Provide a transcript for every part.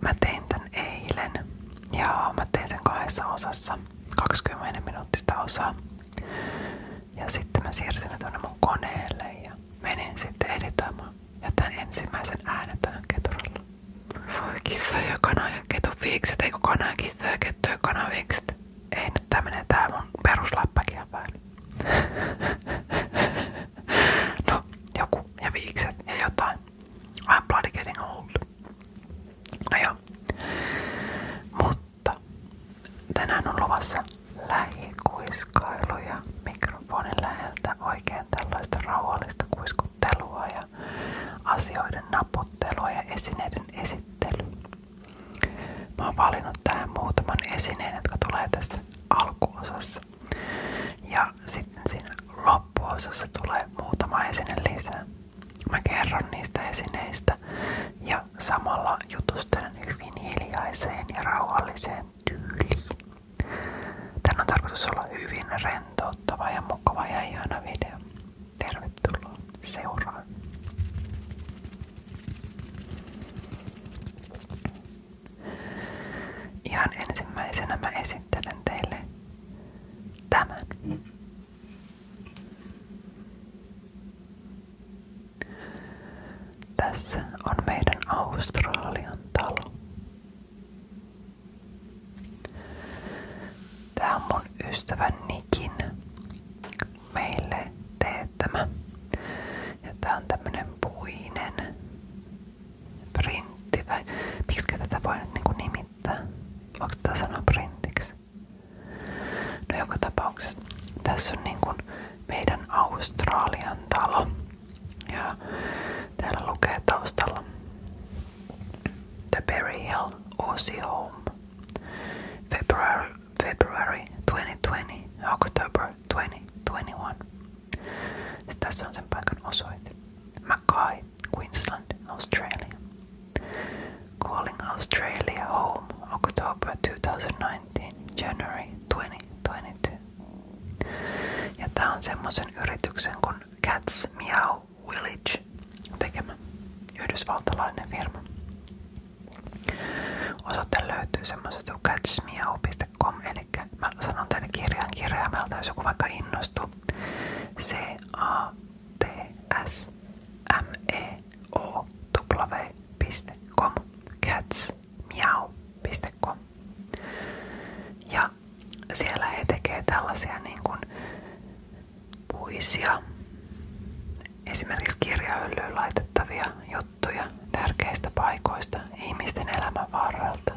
Mä tein tän eilen ja mä tein sen kahdessa osassa, 20 minuuttista osaa. Ja sitten mä siirsin ne tuonne mun koneelle ja menin sitten editoimaan. Ja tän ensimmäisen äänetön keturalla. Voi kissa ja kana ja ketun viikset, eikö kana ja kissa ja kettu ja kana viikset. Ei nyt tää menee tää mun perusläppäkiä päälle. no, joku ja viikset ja jotain. I'm bloody getting old. No Mutta tänään on luvassa lähikuiskailuja mikrofonin läheltä oikein tällaista rauhallista kuiskuttelua asioiden naputtelua esineiden esittelyä. Mä oon valinnut tähän muutaman esineen, jotka tulee tässä alkuosassa. Ja sitten siinä loppuosassa tulee muutama esine lisää. Mä kerron niistä esineistä ja samalla jutustelen hyvin hiljaiseen ja rauhalliseen tyyliin. Tän on tarkoitus olla hyvin rentouttava ja mukava ja ihana video. Tervetuloa seuraan! Ihan ensimmäisenä mä esittelen teille tämän. Tässä on meidän Australian talo. Tää on mun ystävän Nikin meille teettämä. Ja tää on tämmönen puinen Printti vai miksi tätä voi nyt niinku nimittää? Onko tätä sanoa printiksi? No joka tapauksessa tässä on niinku meidän Australian talo. Ja täällä lukee taustalla The Berry Hill Aussie Home. February, February 2020, October 2021. Sitten paikan osoite. Mackay, Queensland, Australia. Calling Australia home October 2019, January 2022. Ja semmoisen yrityksen kuin Cats Meow Village tekemä yhdysvaltalainen firma. Osoite löytyy semmoisesta catsmeow.com kirjaimelta.com, eli mä sanon tänne kirjan kirjaimelta, jos joku vaikka innostuu. c a t s m e o Cats. w.com catsmiau.com Ja siellä he tekee tällaisia niin kuin puisia, esimerkiksi kirjahyllyyn laitettavia juttuja tärkeistä paikoista ihmisten elämän varrelta.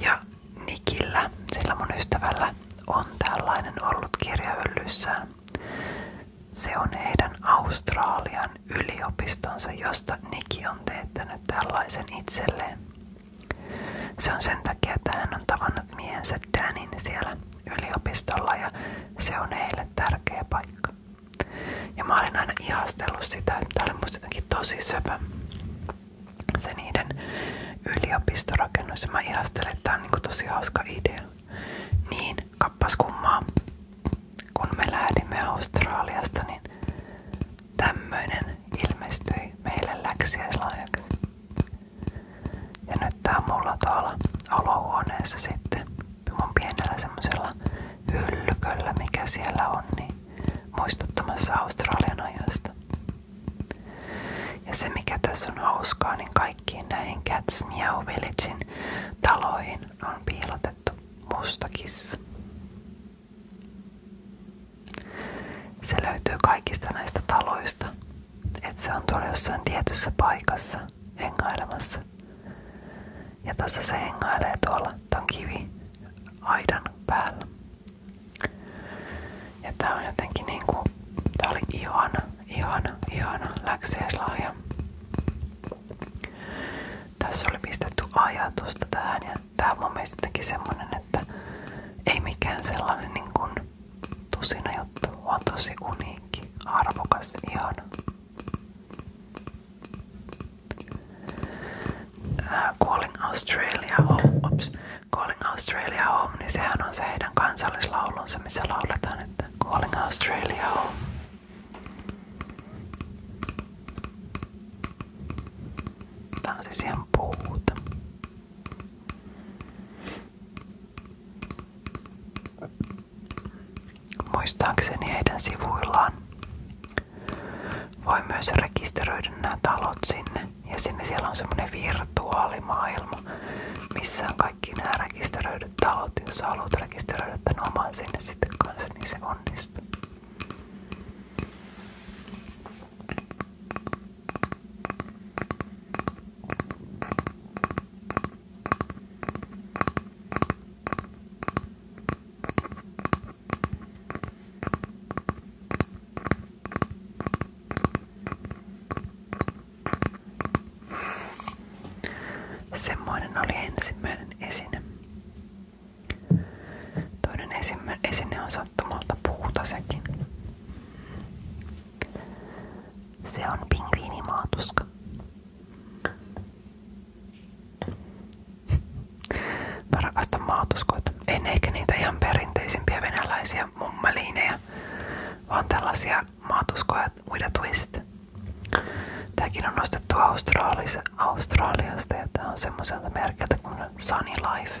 Ja Nikillä, sillä mun ystävällä, on tällainen ollut kirjahyllyssään. Se on heidän Australian yliopistonsa, josta Niki on teettänyt tällaisen itselleen. Se on sen takia, että hän on tavannut miehensä Danin siellä yliopistolla ja se on heille tärkeä paikka. Ja mä olin aina ihastellut sitä, että tämä oli musta jotenkin tosi söpö se niiden yliopistorakennus. Ja mä ihastelen, että tää on niinku tosi hauska idea. Niin, kappas kummaa. Kun me lähdimme Australiasta, niin tämmöinen ilmestyi meille läksiäislahjaksi. Ja nyt tää on mulla tuolla olohuoneessa sitten mun pienellä semmosella hyllyköllä, mikä siellä on, niin muistuttamassa Australian ajasta. Ja se mikä tässä on hauskaa, niin kaikkiin näihin Cats Meow Villagein taloihin on piilotettu musta kissa. Se löytyy kaikista näistä taloista, että se on tuolla jossain tietyssä paikassa hengailemassa. Ja tässä se hengailee tuolla, ton kivi aidan päällä. Ja tää on jotenkin niinku, tää oli ihana, ihana, ihana läksiäislahja. Tässä oli pistetty ajatusta tähän ja tää on mun mielestä jotenkin semmonen, että ei mikään sellainen niin kuin tusina juttu, vaan tosi uniikki, arvokas, ihana. Uh, Calling Australia Home, ops, Calling Australia Home, niin sehän on se heidän kansallislaulunsa, missä lauletaan, että Calling Australia Home. Tää on siis ihan puuta. Muistaakseni heidän sivuillaan voi myös rekisteröidä nämä talot sinne. Ja sinne siellä on semmoinen virtuaalimaailma, missä on kaikki nämä rekisteröidyt talot. Jos haluat rekisteröidä tämän oman sinne sitten kanssa, niin se onnistuu. Semmoinen oli ensimmäinen esine. Toinen esine on sattumalta puuta sekin. Se on pingviinimaatuska. Mä rakastan maatuskoita. En ehkä niitä ihan perinteisimpiä venäläisiä mummeliinejä, vaan tällaisia maatuskoja with a twist. Tääkin on nostettu Australiasta ja tää on semmoiselta merkeltä kuin Sunny Life.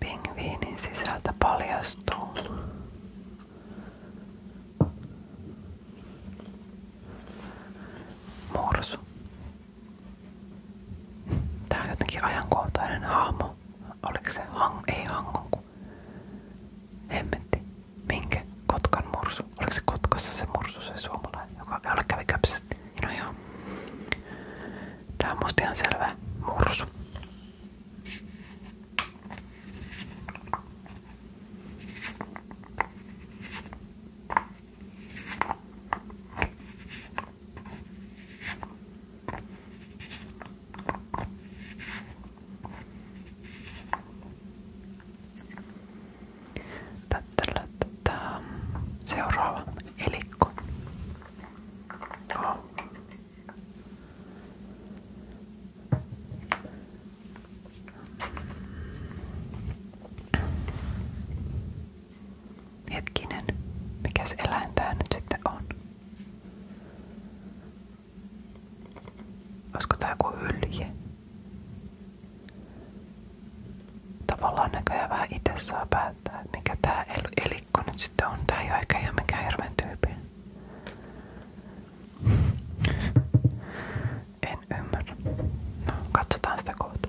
Pingviinin sisältä paljastuu mursu. Tää on jotenkin ajankohtainen hahmo. Oliko se hang, ei hangon mursu. Hemmetti. Minkä? Kotkan mursu. Oliko se Kotkassa se mursu, se suomalainen, joka jolle kävi käpsästi? No joo. Tää on musta ihan selvä mursu. Tätä, tätä. Seuraava elikko. Oh. Hetkinen, mikäs eläin tää nyt sitten on? Olisiko tää joku hylje? Tavallaan näköjään vähän itse saa päättää, että mikä tää el elikko nyt sitten on. Tää ei oo ehkä ihan mikään hirveen tyypin. en ymmärrä. No, katsotaan sitä kohta.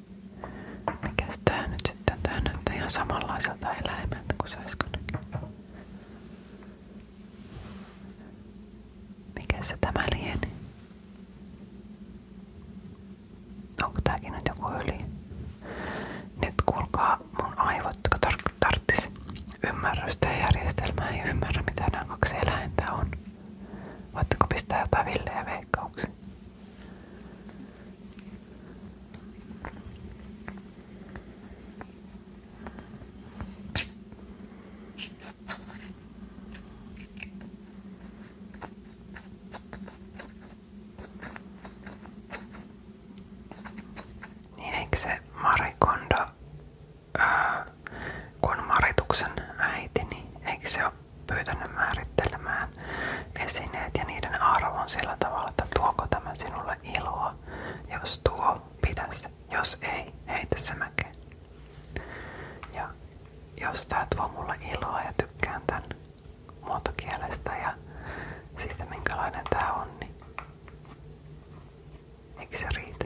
Mikäs tää nyt sitten? Tää näyttää ihan samanlaiselta eläimeltä kuin se äsken. Mikä se tämä lieni? Onko tääkin nyt joku yli? Nyt kuulkaa mun aivot, jotka tar tarttis ymmärrystä ja järjestelmää, ei ymmärrä mitä nämä kaksi eläintä on. Voitteko pistää jotain villejä veikkauksia? Niin eikö se Marikondo, ää, kun on Marituksen äiti, niin eikö se ole ja pyytänyt määrittelemään esineet ja niiden arvon sillä tavalla, että tuoko tämä sinulle iloa. Jos tuo, pidä se. Jos ei, heitä se mäkeen. Ja jos tää tuo mulle iloa ja tykkään tän muotokielestä ja siitä minkälainen tää on, niin eikö se riitä?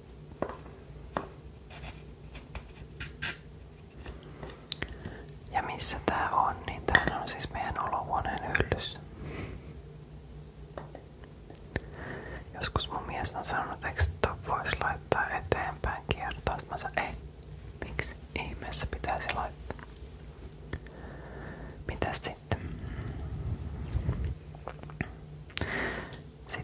Ja missä tää on, niin täällä on siis meidän olohuoneen hyllyssä. Joskus mun mies on sanonut, että ton voisi laittaa eteenpäin kiertaas. Mä sanoin, ei, miksi ihmeessä pitäisi laittaa? Mitäs sitten? Sitten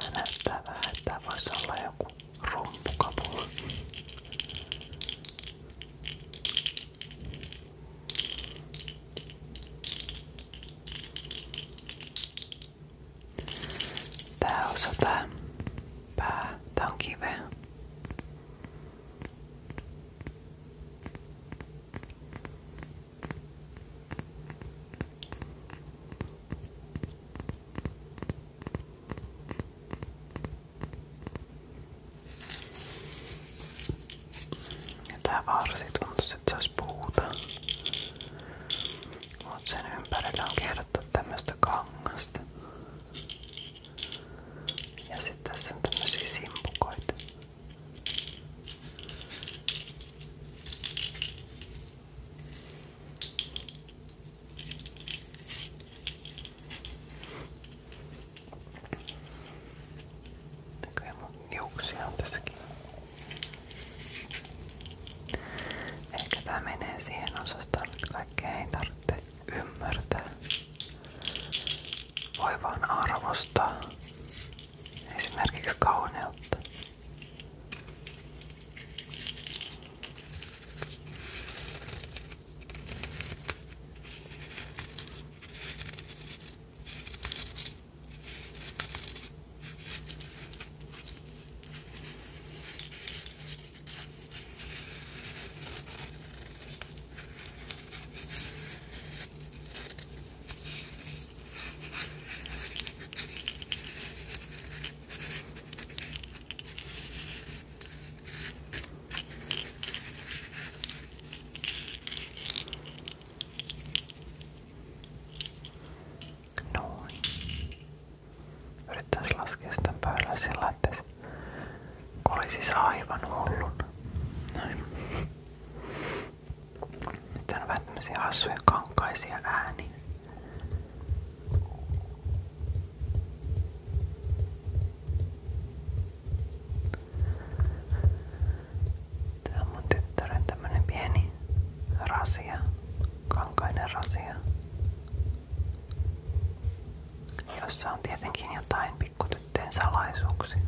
Tää näyttää vähän, että tää voisi olla joku rompukapula. Tää osa tää pää, tää on kiveä. Ja tää varsi tuntuisi, että se olisi puuta. Mut sen ympärillä on kierrottu tämmöstä kangasta. Ja sitten tässä on tämmösiä simpukoita. Näköjään mun niuksia on tässäkin. Ehkä tää menee siihen osastoon, että kaikkea ei tarvitse ymmärtää voi vaan arvostaa esimerkiksi kauneutta. Noin. Yrittäisiin laskea sitä päälle sillä, että se oli siis aivan hullun. Noin. Nyt on vähän tämmösiä hassuja kankaisia ääniä. Tää on mun tyttären pieni rasia, kankainen rasia, jossa on tietenkin jotain pikkutyttöjen salaisuuksiin.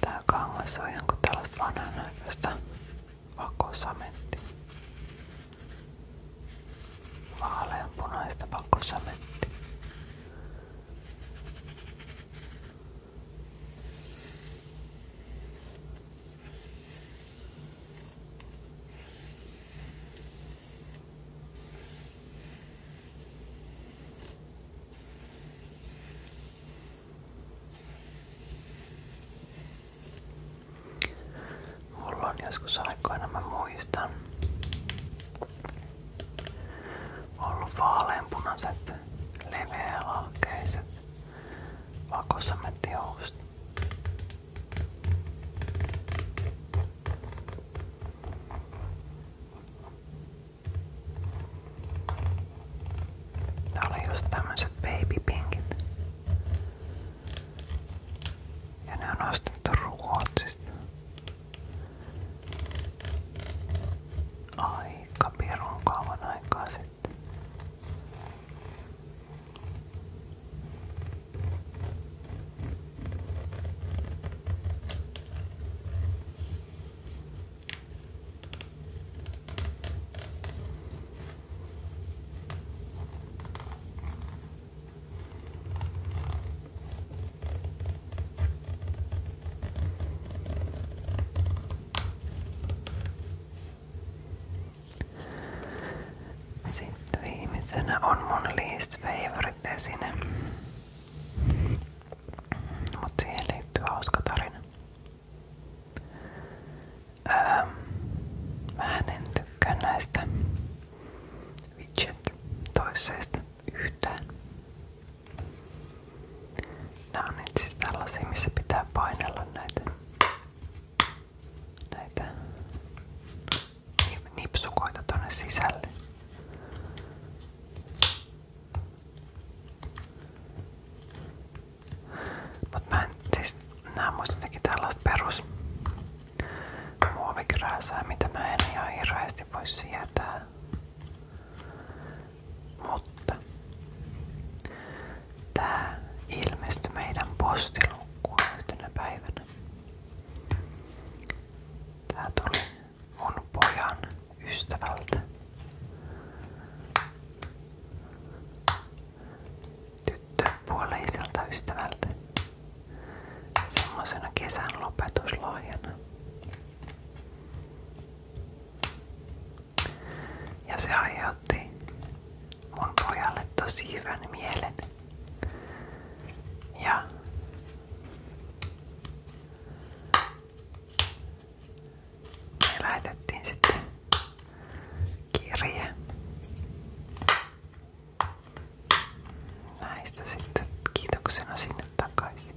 Tää kangas on jonkun tällaista vanhanaikaista vakosamettia. Vaaleanpunaista vakosamettia. Mulla on joskus aikoina, mä muistan, ollut leveälohkeiset vakosamettihousut. Tää oli just tämmöset babypinkit. Ja ne on ostettu Ruotsista. Aika pirun kauan aikaa sitten. Sitten viimeisenä on mun least Mut siihen liittyy hauska tarina. mä en tykkää näistä yhtään. Nämä on nyt siis tällaisia, missä pitää painella näitä, näitä nipsukoita tonne sisälle. Mut mä en siis, nää on jotenkin tällaista perus muovikrääsää, mitä mä en ihan hirveästi voi sietää. Mutta tää ilmestyi meidän postilukkuun yhtenä päivänä. Tää tuli mun pojan ystävältä. Tyttöpuoleiselta ystävältä. Semmosena kesän lopetuslahjana. Ja se aiheutti mun pojalle tosi hyvän mielen. Ja me lähetettiin sitten kirje näistä sitten kiitoksena sinne takaisin.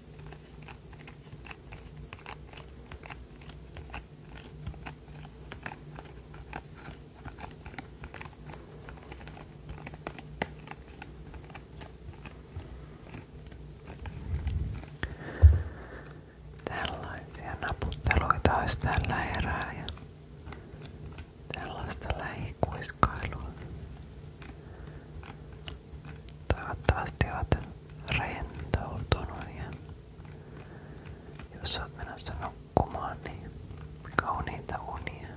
Tällaisia naputteluita olisi tällä erää ja tällaista lähikuiskailua. Toivottavasti oot rentoutunut ja jos oot menossa nukkumaan, niin kauniita unia.